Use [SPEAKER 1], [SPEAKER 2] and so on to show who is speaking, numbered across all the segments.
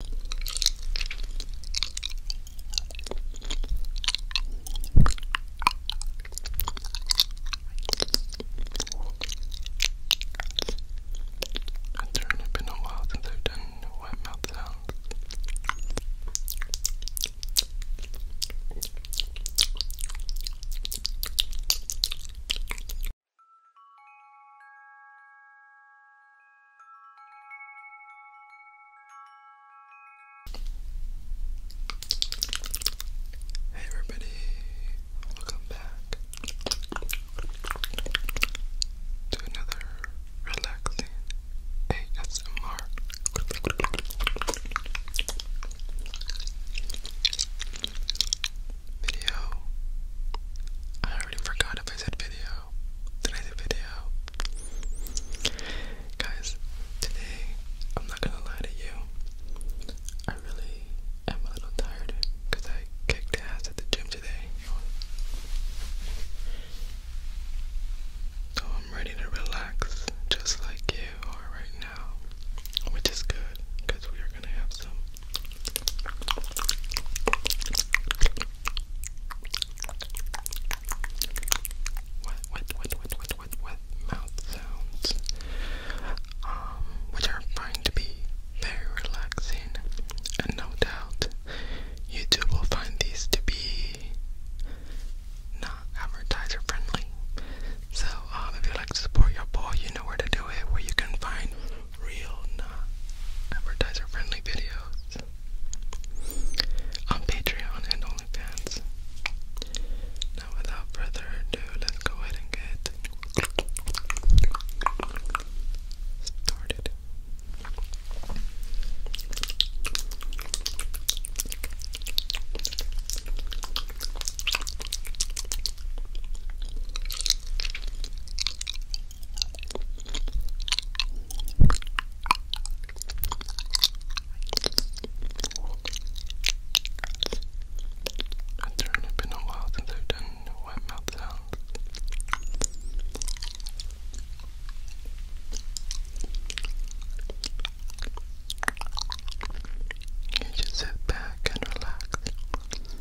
[SPEAKER 1] It's only been a while since I've done wet mouth sounds. Hey everybody, welcome back to another relaxing ASMR. Video. I already forgot if I said video. Today's video. Guys, today, I'm not gonna lie to you. I really am a little tired because I kicked ass at the gym today. So I'm ready to relax just like you are right now, which is good because we are gonna have some with, with, with, with, with, with, with mouth sounds, um, which are going to be very relaxing, and no doubt YouTube will find these to be not advertiser friendly. So, um, if you'd like to support your boy, you know where to do it, where you can find real, not advertiser friendly videos on Patreon and OnlyFans. Now, without further ado, let's go ahead and get started. It's really been a while since I've done wet mouth sounds. You just sit back and relax.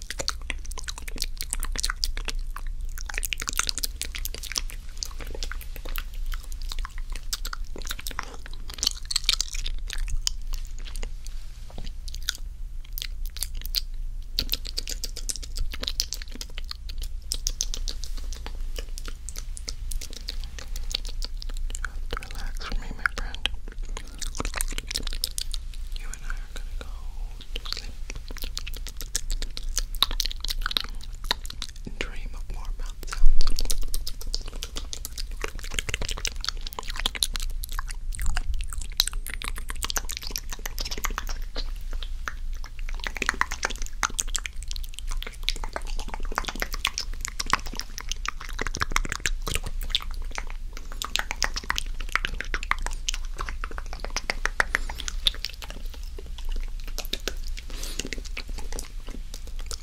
[SPEAKER 1] You have to relax for me, my friend. You and I are gonna go to sleep. Dream of more mouth sounds.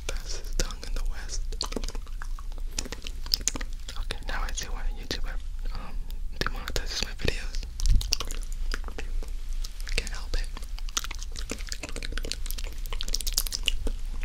[SPEAKER 1] That's his tongue in the west. Okay, now I see why YouTuber um my videos. Can't help it.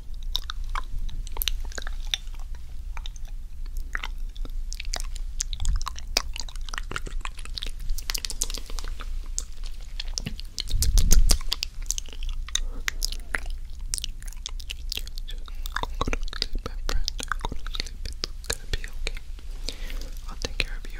[SPEAKER 1] Go to sleep, my friend. Go to sleep. It's gonna be okay. I'll take care of you.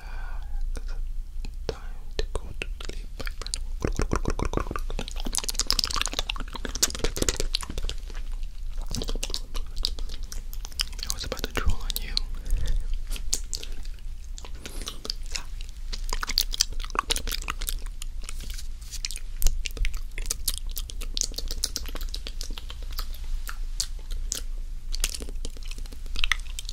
[SPEAKER 1] relax. Time to go to sleep, I was about to troll on you.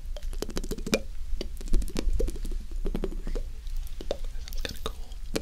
[SPEAKER 1] That's kind of cool. Cool.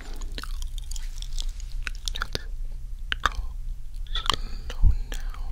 [SPEAKER 1] go slow now.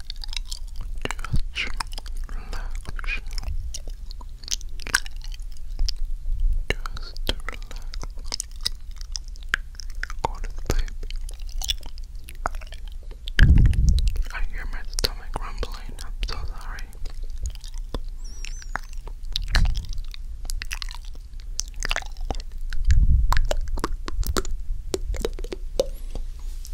[SPEAKER 1] Just relax. Just relax. Go to sleep. I hear my stomach rumbling. I'm so sorry.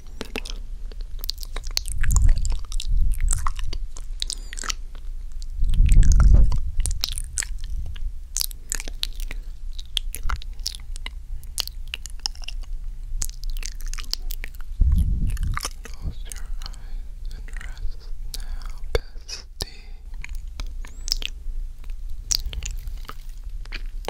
[SPEAKER 1] Close your eyes and rest now, bestie.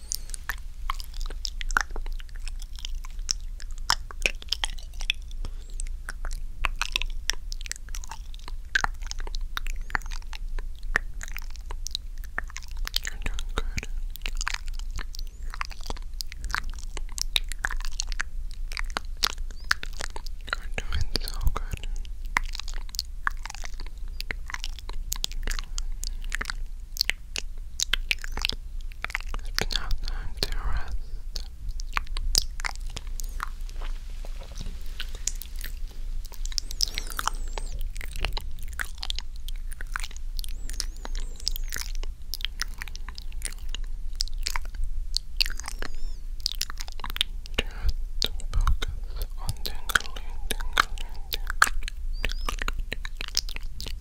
[SPEAKER 1] You're doing good. You're doing so good. You're doing it's now time to rest. Just focus on tingling, tingling, tingling,